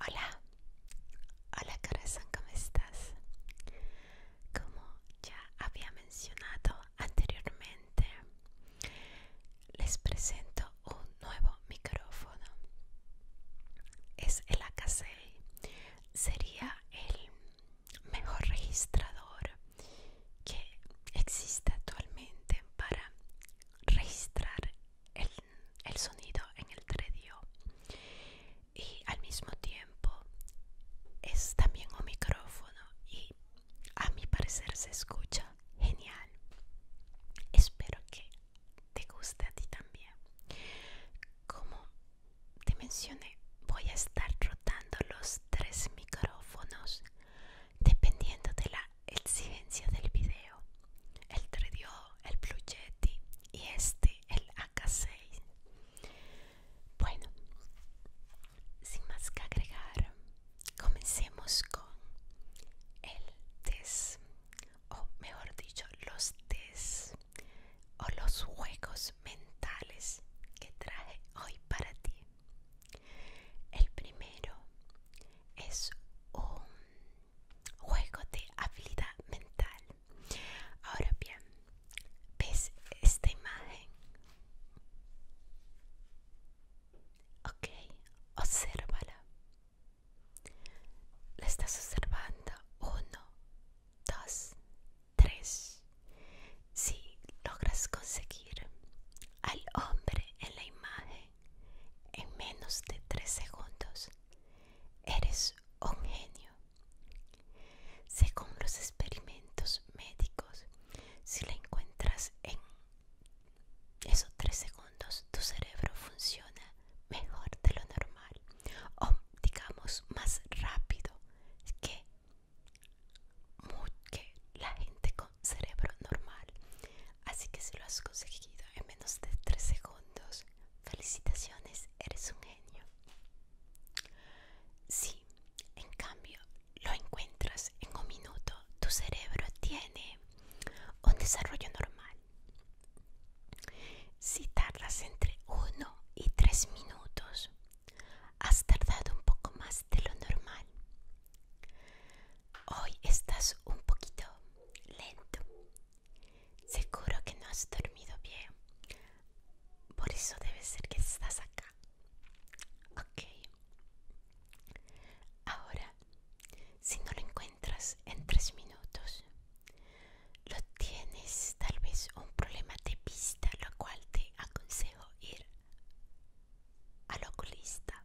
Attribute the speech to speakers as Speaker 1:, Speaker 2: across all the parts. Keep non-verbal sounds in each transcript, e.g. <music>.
Speaker 1: Hola, hola corazón, ¿cómo estás? Como ya había mencionado anteriormente, les presento un nuevo micrófono. Es el AKC. Sería el mejor registrador que existe actualmente para registrar el, sonido en el 3 tredio y al mismo tiempo es también un micrófono y a mi parecer se escucha genial espero que te guste a ti también como te mencioné voy a estar rotando los tres micrófonos dependiendo de la exigencia del video el Tredio, el Blue Yeti y este el AK6 bueno sin más que agregar comencemos con el test o mejor dicho los test o los juegos mentales que traje hoy para ti el primero es un juego de habilidad mental. Ahora bien, ¿ves esta imagen? Ok, obsérvala. La estás observando. Uno, dos, tres. Si logras conseguir al hombre en la imagen, en menos de tres segundos. Eres un genio. Según los experimentos médicos, si la encuentras en esos tres segundos, tu cerebro funciona mejor de lo normal o digamos más rápido que que la gente con cerebro normal. Así que si lo has conseguido en menos de 3 segundos, felicitaciones, eres un genio. Si, en cambio, lo encuentras en un minuto, tu cerebro tiene un desarrollo normal. Si tardas entre 1 y 3 minutos, has tardado un poco más de lo normal. Hoy estás un poquito lento. Seguro que no has dormido bien. Por eso debe ser que estás acá. Ok. Ahora, si no lo encuentras en tres minutos, lo tienes tal vez un problema de vista, lo cual te aconsejo ir al oculista.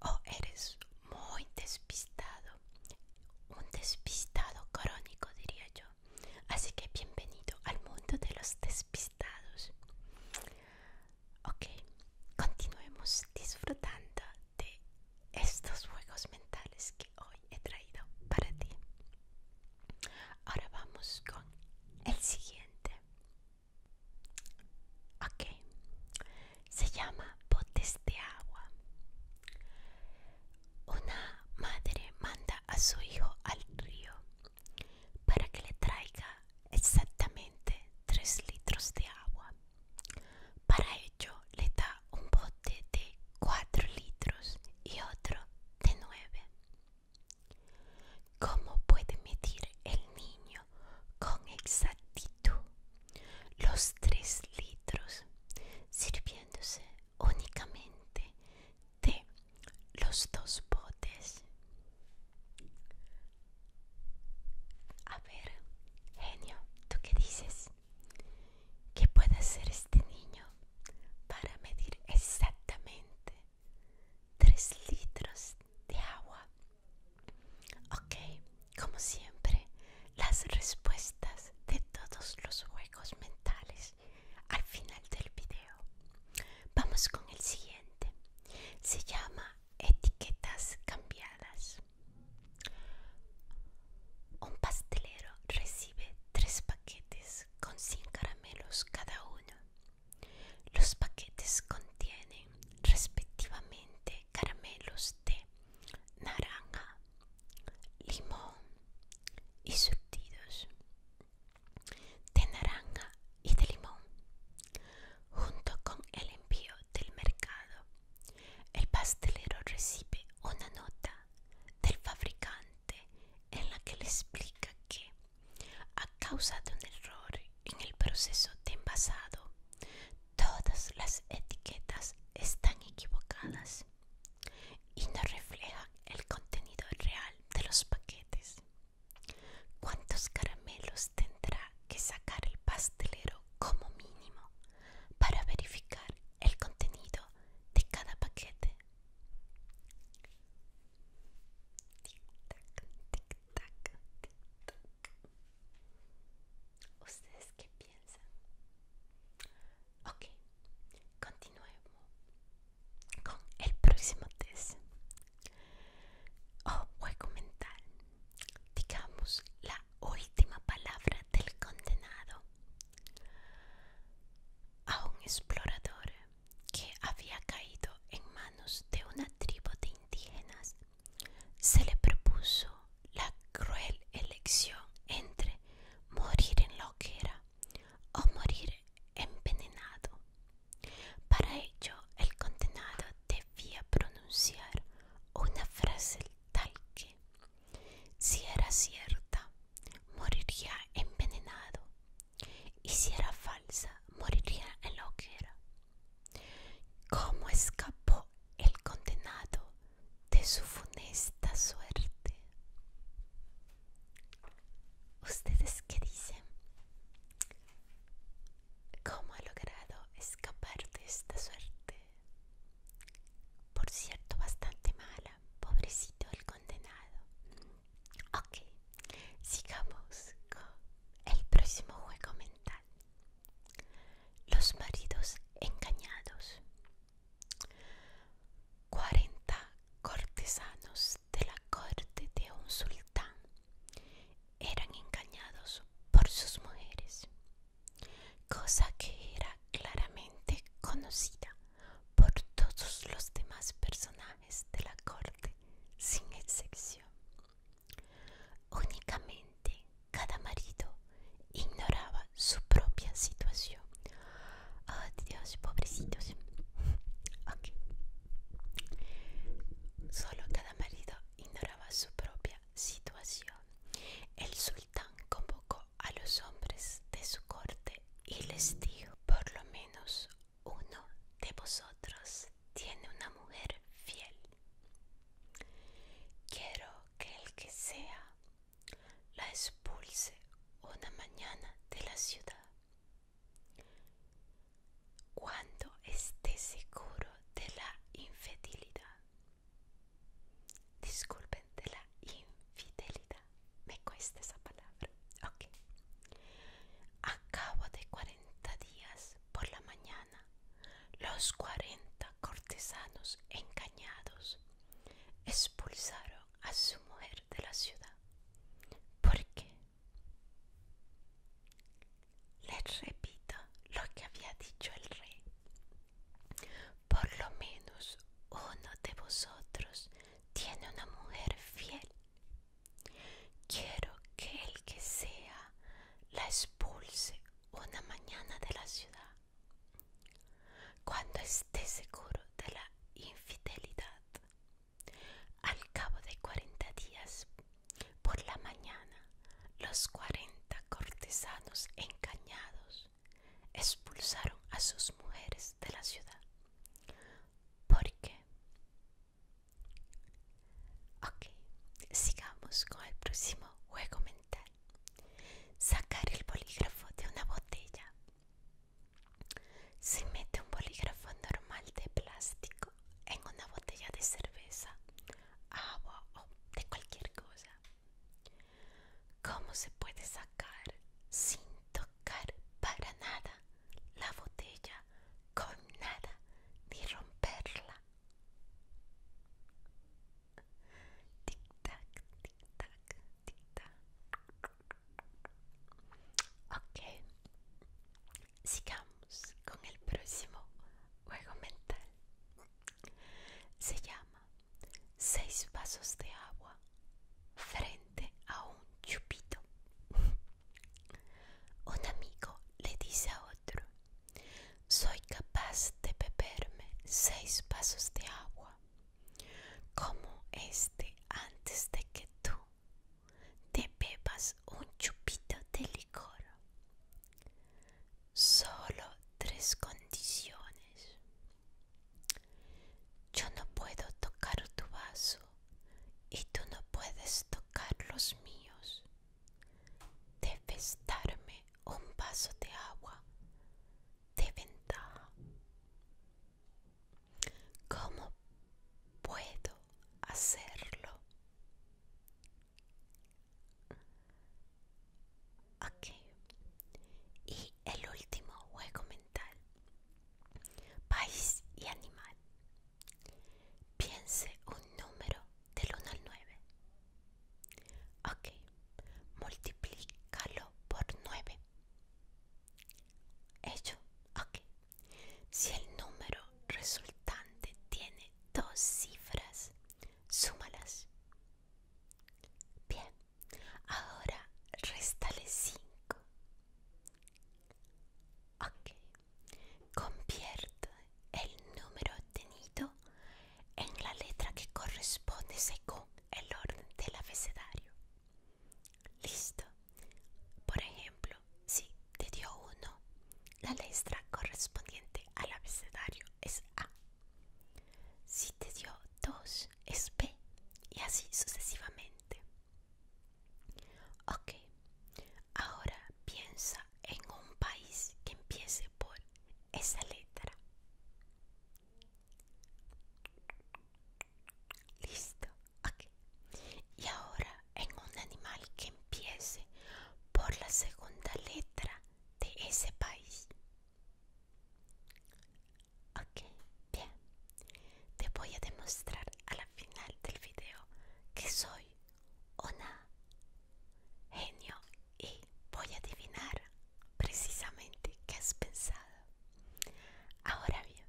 Speaker 1: O eres muy despistado, un despistado crónico diría yo. Así que bienvenido al mundo de los despistados. Ok, continuemos disfrutando de estos juegos mentales que hoy he traído para ti. Ahora vamos con el siguiente. Ok, se llama botes de agua. Una madre manda a su hijo al río para que le traiga exactamente 3 litros de agua. Para ello le da un bote de 4 litros y otro de nueve. ¿Cómo puede medir el niño con exactitud los tres litros sirviéndose únicamente de los dos botes? A ver, genio, ¿tú qué dices? ¿Qué puede hacer este niño para medir exactamente 3 litros de agua. Ok, como siempre, las respuestas de todos los juegos mentales al final del video. Vamos con el siguiente. Se llama etiquetas cambiadas. Un pastelero recibe tres paquetes con 100 caramelos cada uno. Los paquetes contienen respectivamente caramelos de naranja, limón y surtidos de naranja y de limón, junto con el envío del mercado. El pastelero recibe una nota del fabricante en la que le explica que a causa de un error en el proceso de envasado, todas las etiquetas están equivocadas y no reflejan el contenido real de los paquetes. ¿Cuántos caramelos tendrá que sacar el pastelero como mínimo para verificar el contenido de cada paquete? Tic tac, tic tac, tic tac. ¿Ustedes qué piensan? Ok, continuemos con el próximo test. O oh, a comentar Digamos la última palabra del condenado. A un explorador que había caído en manos de una tribu de indígenas, se le propuso la cruel elección entre morir en la o morir envenenado. Para ello, el condenado debía pronunciar una frase tal que, si era cierta, moriría envenenado y si era falsa moriría en la hoguera. ¿Cómo escapó el condenado de su funesta suerte? ¿Ustedes qué dicen? ¿Cómo ha logrado escapar de esta suerte? Por cierto, bastante mal. Pobrecito el condenado. Ok, sigamos con el próximo juego mental. Los maridos engañados. 40 cortesanos de la corte de un sultán eran engañados por sus mujeres, cosa que era claramente conocida por todos los demás personajes de la corte sin excepción. Únicamente cada marido ignoraba su propia situación. Oh Dios, pobrecitos. Solo cada marido ignoraba su propia situación. El sultán convocó a los hombres de su corte y les digo por lo menos uno de vosotros tiene una mujer fiel. Quiero que el que sea la expulse una mañana de la ciudad. Cuando esté seguro de la infidelidad. Disculpen, de la infidelidad me cuesta esa palabra. Ok. A cabo de 40 días por la mañana, los 40 cortesanos engañados expulsaron a su mujer de la ciudad. ¿Por qué? Les repito lo que había dicho el rey. Por lo menos uno de vosotros tiene una mujer fiel. Quiero que el que sea la expulse una mañana de la ciudad, cuando esté seguro de la infidelidad. Al cabo de cuarenta días, por la mañana, los cuarenta cortesanos engañados expulsaron a sus mujeres de la ciudad. ¿Por qué? Ok, sigamos con el próximo juego mental. Sacar el bolígrafo de una botella. Se mete un bolígrafo normal de plástico en una botella de cerveza, agua o de cualquier cosa. ¿Cómo se puede sacar sin tocar para nada la botella con nada ni romperla? Tic tac, tic tac, tic tac. Ok, sigamos con el próximo juego mental. Se llama seis vasos de agua frente a un chupito. un amigo le dice a otro, soy capaz de beberme seis vasos de agua, como este antes de que tú te bebas un chupito de licor. Solo tres condiciones. Yo no puedo tocar tu vaso y tú no puedes tocar los míos. Debes darme un vaso de agua de ventaja. ¿Cómo puedo hacerlo? Ok. Y el último juego mental. País y animal. Piense un número del 1 al 9. Ok. Multiplícalo por 9. Hecho. Ok. Si el número resultante tiene dos cifras, súmalas. Bien, ahora restale 5. Ok, convierte el número obtenido en la letra que corresponde según el orden del abecedario. Listo. Por ejemplo, si te dio 1, la letra correspondiente al abecedario es A. Si te dio dos, es y así sucesivamente. Ok, ahora piensa en un país que empiece por esa letra. Listo, Y ahora en un animal que empiece por la segunda letra de ese país. Ok, bien. Te voy a demostrar a la final del video que soy una genio y voy a adivinar precisamente qué has pensado. Ahora bien,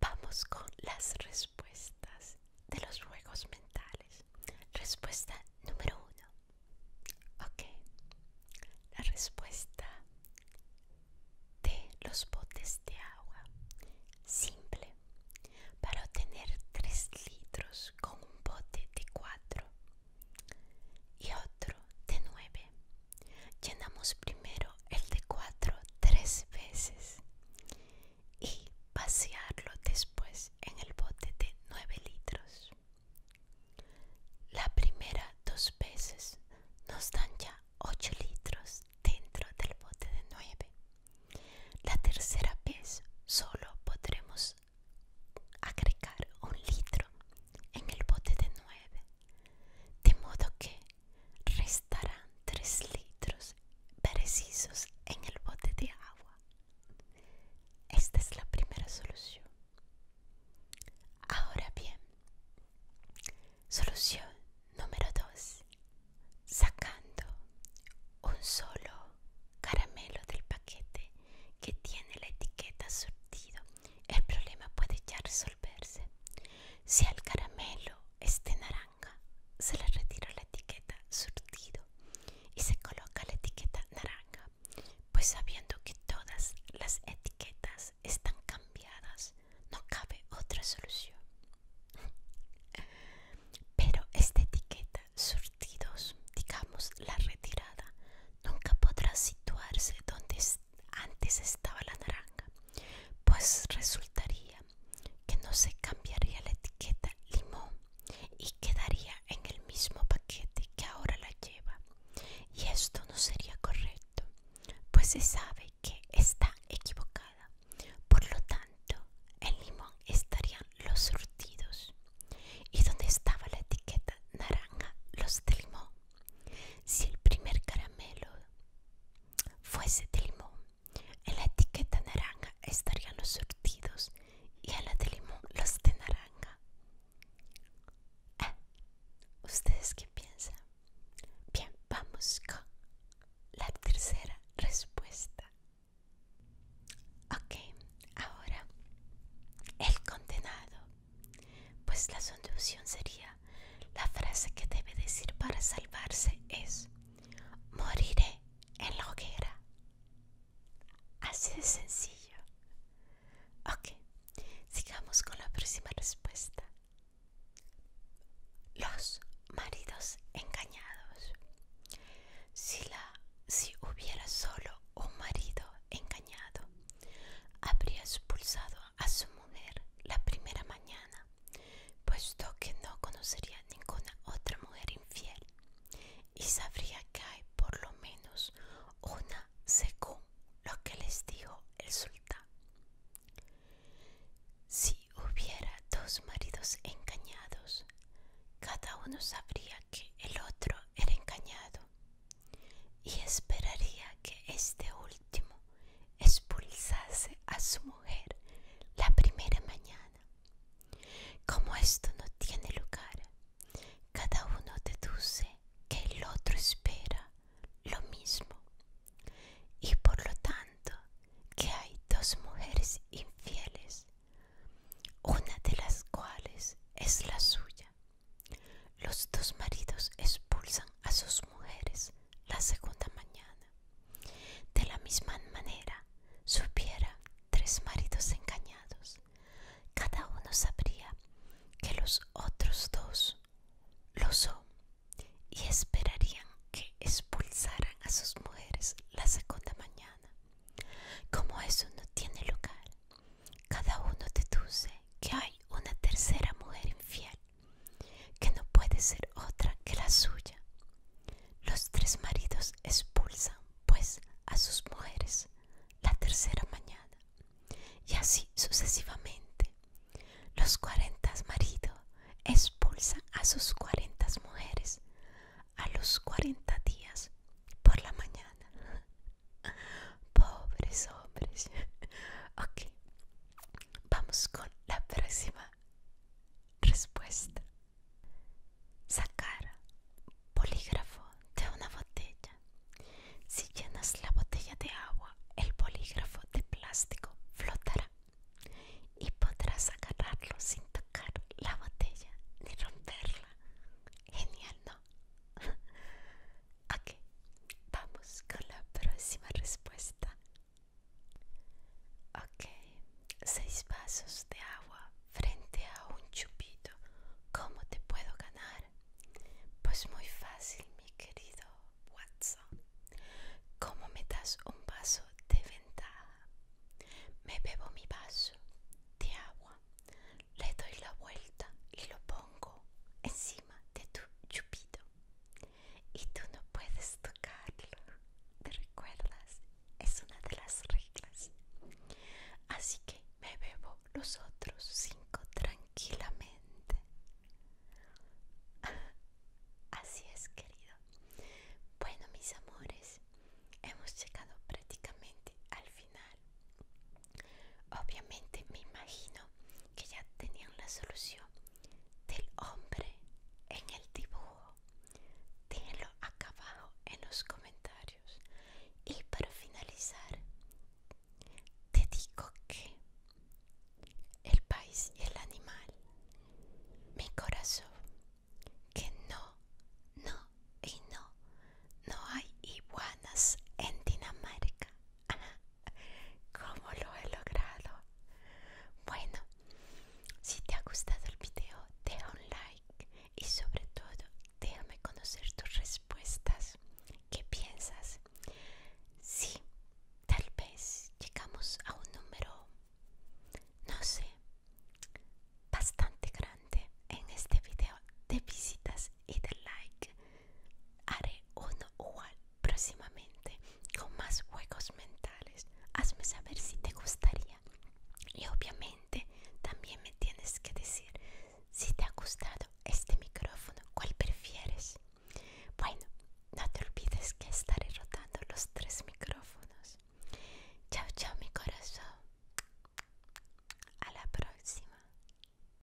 Speaker 1: vamos con las respuestas de los juegos mentales? Respuesta número uno. Ok. La respuesta de los botes de agua. Simple. Para obtener 3 litros con un bote de 4 y otro de nueve Llenamos primero el de 4 tres veces y pasearlo después en el bote de 9 litros. La primera dos veces nos dan ya 8 litros dentro del bote de 9. La tercera vez solo podremos agregar un litro en el bote de 9. De modo que restarán 3 litros precisos en el bote de agua. Esta es la primera solución. Ahora bien, solución número 2. Sacando un solo caramelo del paquete que tiene la etiqueta surtido, el problema puede ya resolverse. Si el caramelo es de naranja, se le retira la etiqueta surtido y se coloca la etiqueta naranja, pues sabiendo que todas las etiquetas están cambiadas, no cabe otra solución. Pero esta etiqueta surtidos, digamos la retirada, nunca podrá situarse donde antes estaba la naranja, pues resultaría que no se cambiaría la etiqueta limón y quedaría en el mismo paquete que ahora la lleva. Y esto no sería correcto, pues se sabe que está equivocada. Por lo tanto, en limón estarían los surtidos. ¿Y donde estaba la etiqueta naranja? Los de limón. Si el primer caramelo fuese de limón, en la etiqueta naranja estarían los surtidos y en la de limón los de naranja. Ah, ¿Ustedes qué piensan? Bien, vamos con la tercera respuesta. Ok, ahora el condenado. Pues la solución sería, la frase que debe decir para salvarse es, moriré en la hoguera. Así de sencillo. Ok, sigamos con la próxima respuesta. Los maridos engañados. Si, la, si hubiera solo un marido engañado, habría expulsado a su mujer la primera mañana puesto que no conocería ninguna otra mujer infiel y sabría que hay por lo menos una según lo que les dijo el sultán. Si hubiera dos maridos engañados, cada uno sabría que el otro era engañado y esperaría que este último expulsarse expulsase a su mujer la primera mañana. Como esto no tiene lugar, cada uno deduce que el otro espera lo mismo y por lo tanto que hay dos mujeres infieles, una de las cuales es la suya. Los dos maridos expulsan a sus mujeres la segunda mañana de la misma manera, supiera tres maridos engañados, cada uno sabría que los otros dos lo son y esperarían que expulsaran a sus mujeres la segunda mañana. Como eso no tiene lugar, cada uno deduce que hay una tercera mujer infiel que no puede ser otra que la suya. Los tres maridos expulsan, pues, a sus mujeres la tercera mañana, y así sucesivamente. Los cuarentas maridos expulsan a sus cuarentas mujeres a los cuarenta días por la mañana. <laughs> Pobres hombres. <laughs> ok, Vamos con la próxima respuesta. Sacar polígrafo de una botella. Si llenas la botella de agua, el polígrafo de plástico flotará y podrás agarrarlo sin tocar la botella ni romperla. Genial, ¿no? <laughs> Ok, vamos con la próxima respuesta. Ok, seis vasos de agua frente a un chupito. ¿Cómo te puedo ganar? Pues muy fácil, mi querido Watson. ¿Cómo me das un vaso de ventaja? Me bebo mi vaso de agua, le doy la vuelta y lo pongo encima de tu chupito y tú no puedes tocarlo. ¿Te recuerdas? Es una de las reglas. Así que me bebo los otros cinco tranquilamente. <laughs> Así es, querido. Bueno, mis amores, hemos llegado prácticamente al final. Obviamente me imagino que ya tenían la solución del hombre en el dibujo. Déjenlo acabado en los comentarios. Y para finalizar, te digo que el país y el animal, mi corazón, que no, no y no, no hay iguanas en Dinamarca. ¿Cómo lo he logrado? Bueno, si te ha gustado el video, deja un like y sobre todo déjame conocer tus respuestas. ¿Qué piensas? Sí, tal vez llegamos a un número, no sé, bastante grande en este video de visitas y de like. Haré uno igual próximamente con más juegos mentales. Hazme saber si te gustaría. Y obviamente también me tienes que decir si te ha gustado este micrófono, cuál prefieres. Bueno, no te olvides que estaré rotando los tres micrófonos. Chao, chao mi corazón. A la próxima.